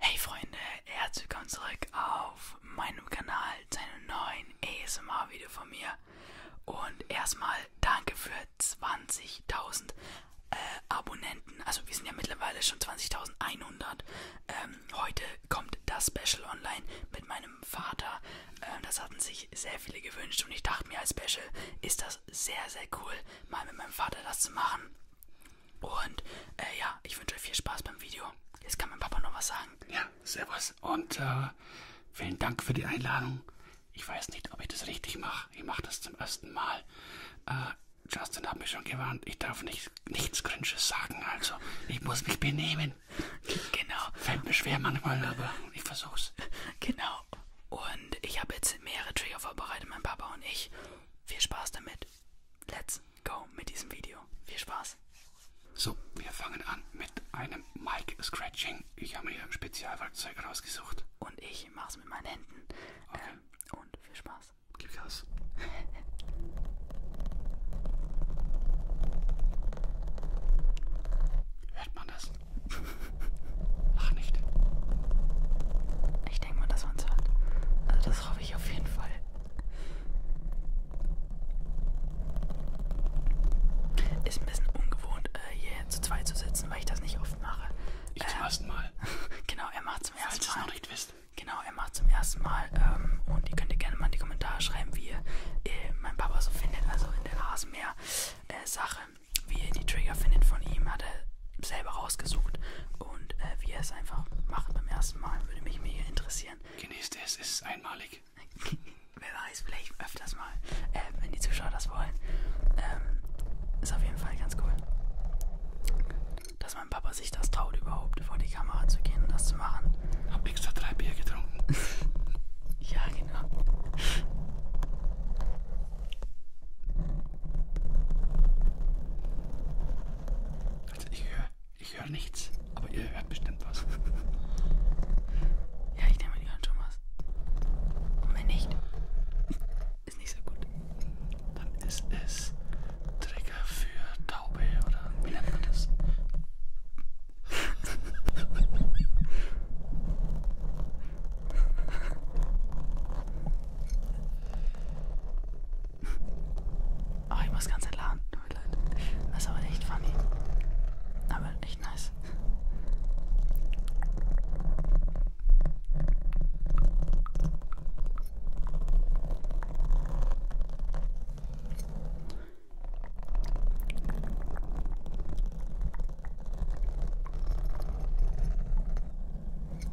Hey Freunde, herzlich willkommen zurück auf meinem Kanal zu einem neuen ASMR-Video von mir. Und erstmal danke für 20.000 äh, Abonnenten. Also wir sind ja mittlerweile schon 20.100. Ähm, heute kommt das Special online mit meinem Vater. Ähm, das hatten sich sehr viele gewünscht und ich dachte mir als Special ist das sehr, sehr cool, mal mit meinem Vater das zu machen. Und äh, ja, ich wünsche euch viel Spaß beim Video. Jetzt kann mein Papa noch was sagen. Ja, servus. Und äh, vielen Dank für die Einladung. Ich weiß nicht, ob ich das richtig mache. Ich mache das zum ersten Mal. Äh, Justin hat mich schon gewarnt, ich darf nicht, nichts Grinches sagen, also ich muss mich benehmen. Genau. Fällt mir schwer manchmal, aber ich versuch's. Genau. Und ich habe jetzt mehrere Trigger vorbereitet, mein Papa und ich. Viel Spaß damit let's go mit diesem Video. Viel Spaß! So, wir fangen an mit einem Mic Scratching. Ich habe mir hier Spezialwerkzeug rausgesucht. Und ich mache es mit meinen Händen. Okay. Ähm, und viel Spaß. Gib Gas. Hört man das? Ach nicht. Ich ich denke mal, dass man es hat. Also das hoffe ich auf jeden Fall. Ist ein bisschen ungewohnt, äh, hier zu zweit zu sitzen, weil ich das nicht oft mache. Ich äh, zum ähm, ersten Mal. genau, er macht zum Falls ersten Mal. Falls ihr es noch nicht wisst. Genau, er macht zum ersten Mal. Ähm, und ihr könnt ihr gerne mal in die Kommentare schreiben, wie ihr äh, mein Papa so findet, also in der Rasenmäher-Sache. Äh, wie ihr die Trigger findet von ihm. Hat er selber rausgesucht und äh, wie er es einfach macht beim ersten Mal, würde mich mega interessieren. Genießt es, es ist einmalig. Wer weiß, vielleicht öfters mal, äh, wenn die Zuschauer das wollen. Ähm, ist auf jeden Fall ganz cool. Dass mein Papa sich das traut, überhaupt vor die Kamera zu gehen und das zu machen. Hab extra drei Bier getrunken. ja, genau. Also ich höre ich hör nichts, aber ihr hört bestimmt was. Ja, ich nehme die Hand schon was. Und wenn nicht, ist nicht so gut. Dann ist es Trigger für Taube oder wie nennt man das? Oh, ich muss ganz entladen. Tut mir leid. Das ist aber echt funny. Aber echt nice.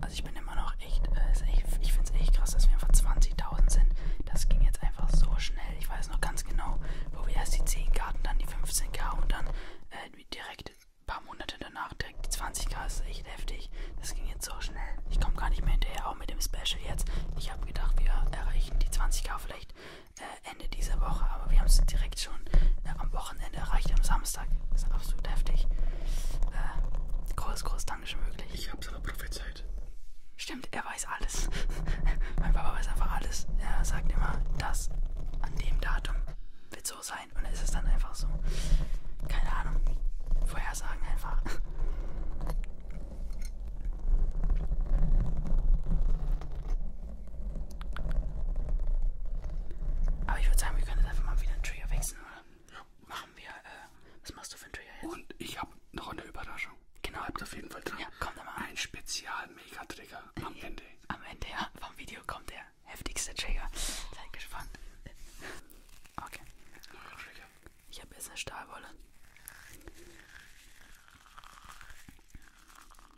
Also ich bin immer noch echt, äh, echt ich finde es echt krass, dass wir einfach 20.000 sind. Das ging jetzt einfach so schnell. Ich weiß noch ganz genau, wo wir erst die 10k und dann die 15k und dann äh, direkt ein paar Monate danach direkt die 20k. Das ist echt heftig. Das ging jetzt so schnell. Ich komme gar nicht mehr hinterher, auch mit dem Special jetzt. Ich habe gedacht, wir erreichen die 20k vielleicht äh, Ende dieser Woche, aber wir haben es direkt direkt schon äh, am Wochenende erreicht, am Samstag. Das ist absolut heftig. Äh, groß, groß Dankeschön möglich. Ich hab's aber prophezeit. Stimmt, er weiß alles. mein Papa weiß einfach alles. Er sagt immer, das an dem Datum wird so sein. Und es ist dann einfach so. Keine Ahnung. Vorhersagen einfach. Aber ich würde sagen, wir können jetzt einfach mal wieder einen Trigger wechseln, oder? Ja. Machen wir, äh, was machst du für einen Trigger jetzt? Und ich habe noch eine Überraschung. Genau. Bleibt auf jeden Fall dran. Ja, komm da mal. Ein Spezial-Mega-Trigger am ja. Ende. Am Ende, ja. Vom Video kommt der heftigste Trigger. Seid gespannt. Okay. Ich habe jetzt eine Stahlwolle.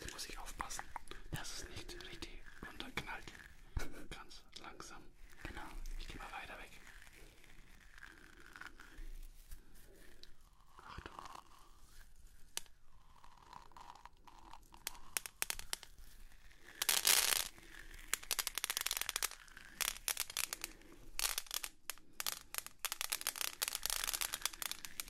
Jetzt muss ich aufpassen, dass es nicht richtig runterknallt. Ganz langsam. Genau. Ich gehe mal weiter weg. Achtung.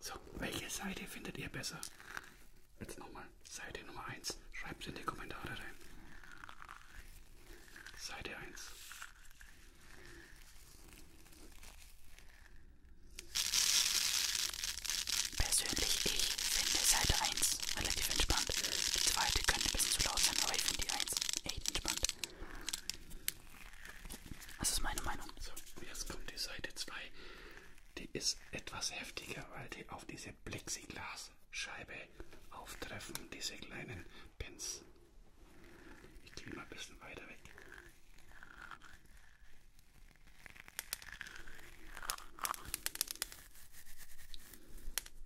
So, welche Seite findet ihr besser? Jetzt nochmal, Seite Nummer 1. Schreibt es in die Kommentare rein. Seite 1. Persönlich ich finde Seite 1 ist relativ entspannt. Die zweite könnte ein bisschen zu laut sein, aber ich finde die eins echt entspannt. Das ist meine Meinung. So, jetzt kommt die Seite 2. Die ist etwas heftiger, weil die auf diese Plexiglasscheibe auftreffen, diese kleinen Pins. Ich gehe mal ein bisschen weiter weg.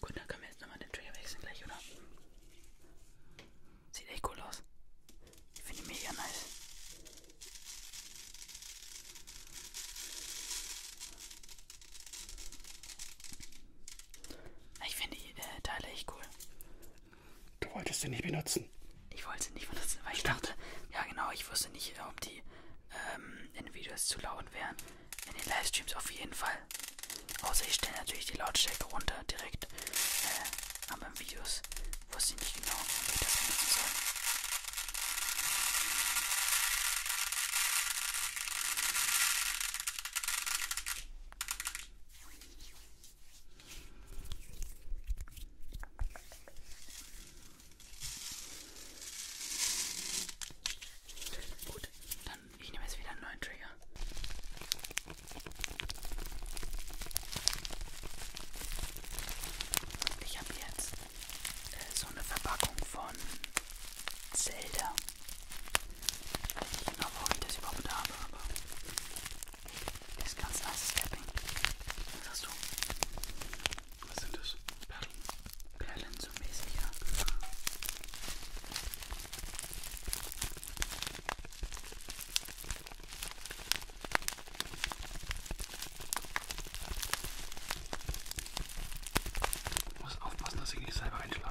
Gut, dann können wir jetzt nochmal den Trigger wechseln gleich, oder? Sieht echt cool aus. Ich finde mega nice. Ich finde die äh, Teile echt cool. Du wolltest sie nicht benutzen. Ich wollte sie nicht benutzen, weil ich Stimmt. dachte, ja genau, ich wusste nicht, äh, ob die ähm, in Videos zu laut wären. In den Livestreams auf jeden Fall. Außer ich stelle natürlich die Lautstärke runter direkt. Äh, aber in Videos wusste ich nicht genau, wie ich das benutzen soll. Gut, dann ich nehme jetzt wieder einen neuen Trigger. Ich habe jetzt äh, so eine Verpackung von Zelda. Ich weiß nicht genau, warum ich das überhaupt habe, aber das ist ganz nice Capping. Was hast du? Was sind das? Perlen. Perlen so mäßig, ja. Ich muss aufpassen, dass ich nicht selber einschlafe.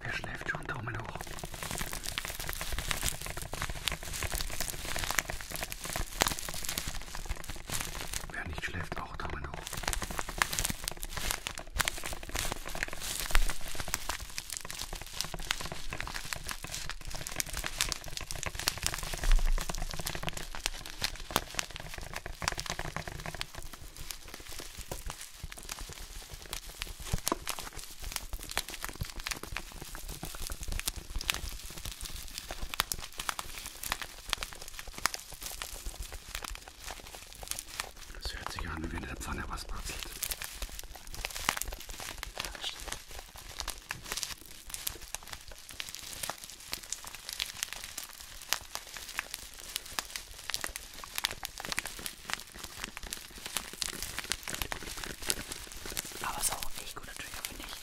Wer schläft schon? Daumen hoch. Wer nicht schläft, auch Daumen hoch. Das hört sich an, wie wenn in der Pfanne was batzelt. Ja, das stimmt. Aber es ist auch ein echt guter Trigger, finde ich.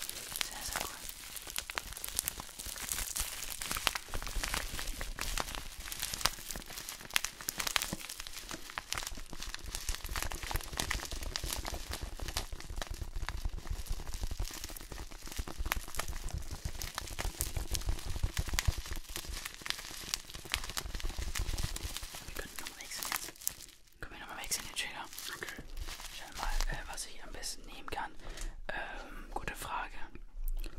Sehr, sehr cool. Wir können noch wechseln jetzt. Können wir nochmal wechseln, den Trigger? Okay. Schau mal, äh, was ich am besten nehmen kann. Ähm, gute Frage.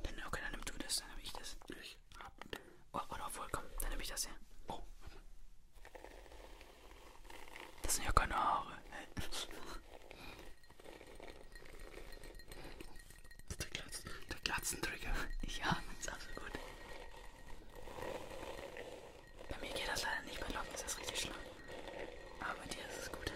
Dann, okay, dann nimm du das, dann nehme ich das. Ich hab. Oh, oder obwohl, komm, dann nehme ich das hier. Oh. Das sind ja keine Haare. Der, Glatz, der Glatzentrigger. Ja, ist auch so gut. Bei mir geht das leider nicht, bei Locken ist das richtig schlimm. Aber bei dir ist es gut.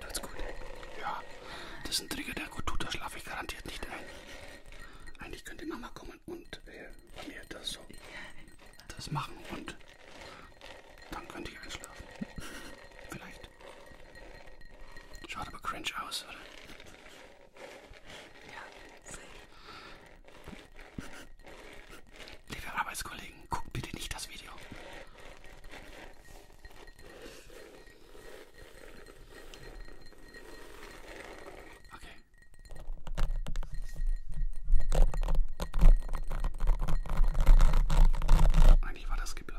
Tut's gut. Ja, das ist ein Trigger, der gut tut, da schlafe ich garantiert nicht ein. Eigentlich könnte Mama kommen und äh, bei mir das so das machen und dann könnte ich einschlafen. Vielleicht. Schaut aber cringe aus, oder? Ja, Liebe Arbeitskollegen, guckt bitte nicht das Video. Okay, eigentlich war das geplant.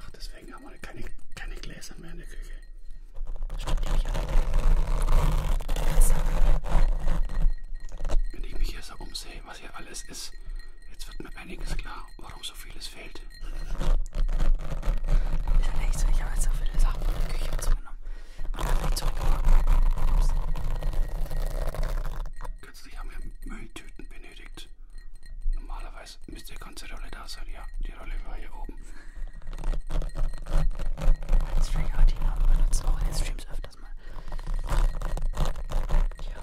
Ach, deswegen haben wir keine, keine Gläser mehr in der Küche. Wenn ich mich hier so umsehe, was hier alles ist, jetzt wird mir einiges klar, warum so vieles fehlt. Ich habe echt so, ich habe jetzt so viele Sachen in der Küche zugenommen. Und dann nicht zurückgeworfen. Kürzlich haben wir Mülltüten benötigt. Normalerweise müsste die ganze Rolle da sein. Ja, die Rolle war hier oben. Als Freehardinger benutzt auch in Streams öfters mal. Ja.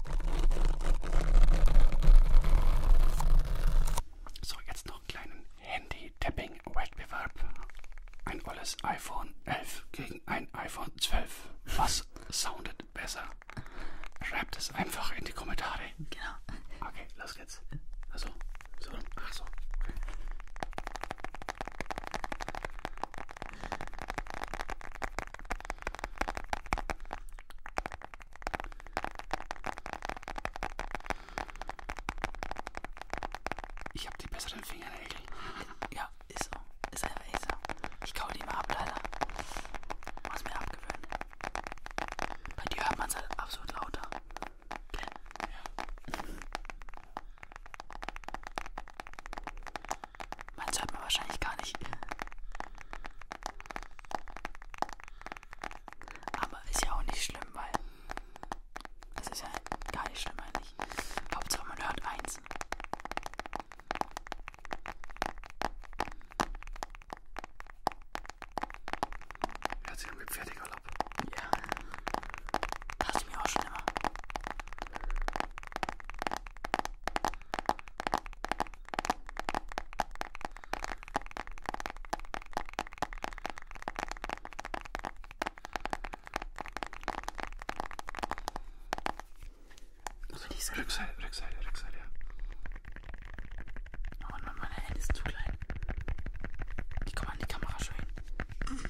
So, jetzt noch einen kleinen Handy-Tapping-Wettbewerb. Ein olles iPhone 11 gegen ein iPhone 12. Was soundet besser? Schreibt es einfach in die Kommentare. Genau. Okay, los geht's. Also, so, ach so. Okay. Ich habe die besseren Fingernägel. Ja, ist so. Ist einfach echt so. Ich kau die immer ab, leider. Muss mir abgewöhnen. Bei dir hört man es halt absolut lauter. Okay. Ja. Meins hört man wahrscheinlich gar nicht. Aber ist ja auch nicht schlimm, weil es ist ja gar nicht schlimm eigentlich. Hauptsache man hört eins. Hört sich irgendwie fertig an. Ja. Dachte ich mir auch schon immer. Also die Seite. Rückseite, Rückseite, Rückseite, ja. Oh Mann, meine Hände ist zu klein. Die kann man in die Kamera schön. Mhm.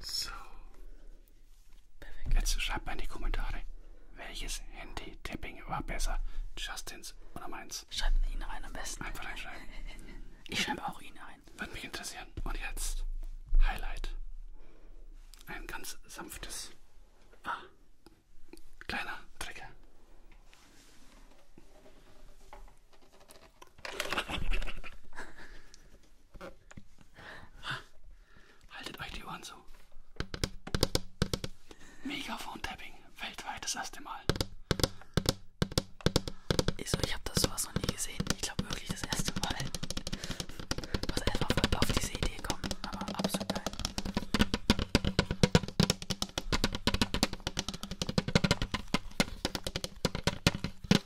So. Perfekt. Jetzt schreibt mal in die Kommentare, welches Handy-Tapping war besser? Justins oder meins? Schreibt ihn rein am besten. Einfach reinschreiben. Ich schreibe auch ihn rein. Würde mich interessieren. Und jetzt Highlight. Ein ganz sanftes. Ah. Kleiner Trigger. Haltet euch die Ohren zu. Megafon-Tapping. Weltweit das erste Mal. Also ich habe das sowas noch nie gesehen. Ich glaube wirklich das erste Mal. Was einfach Leute auf diese Idee kommen. Aber absolut geil.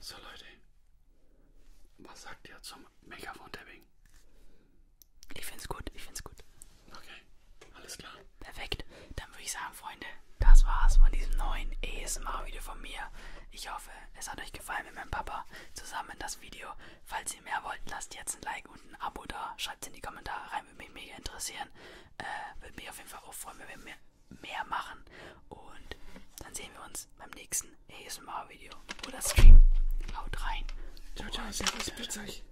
So Leute, was sagt ihr zum Megafon-Tapping? Ich find's gut, ich find's gut. Okay, alles klar. Perfekt. Dann würde ich sagen, Freunde, das war's von diesem neuen ASMR-Video von mir. Ich hoffe, es hat euch gefallen mit meinem Papa zusammen das Video. Falls ihr mehr wollt, lasst jetzt ein Like und ein Abo da. Schreibt es in die Kommentare rein, würde mich mega interessieren. Äh, würde mich auf jeden Fall auch freuen, wenn wir mehr, mehr machen. Und dann sehen wir uns beim nächsten ASMR-Video oder Stream. Haut rein. Ciao, ciao, servus, bitte euch.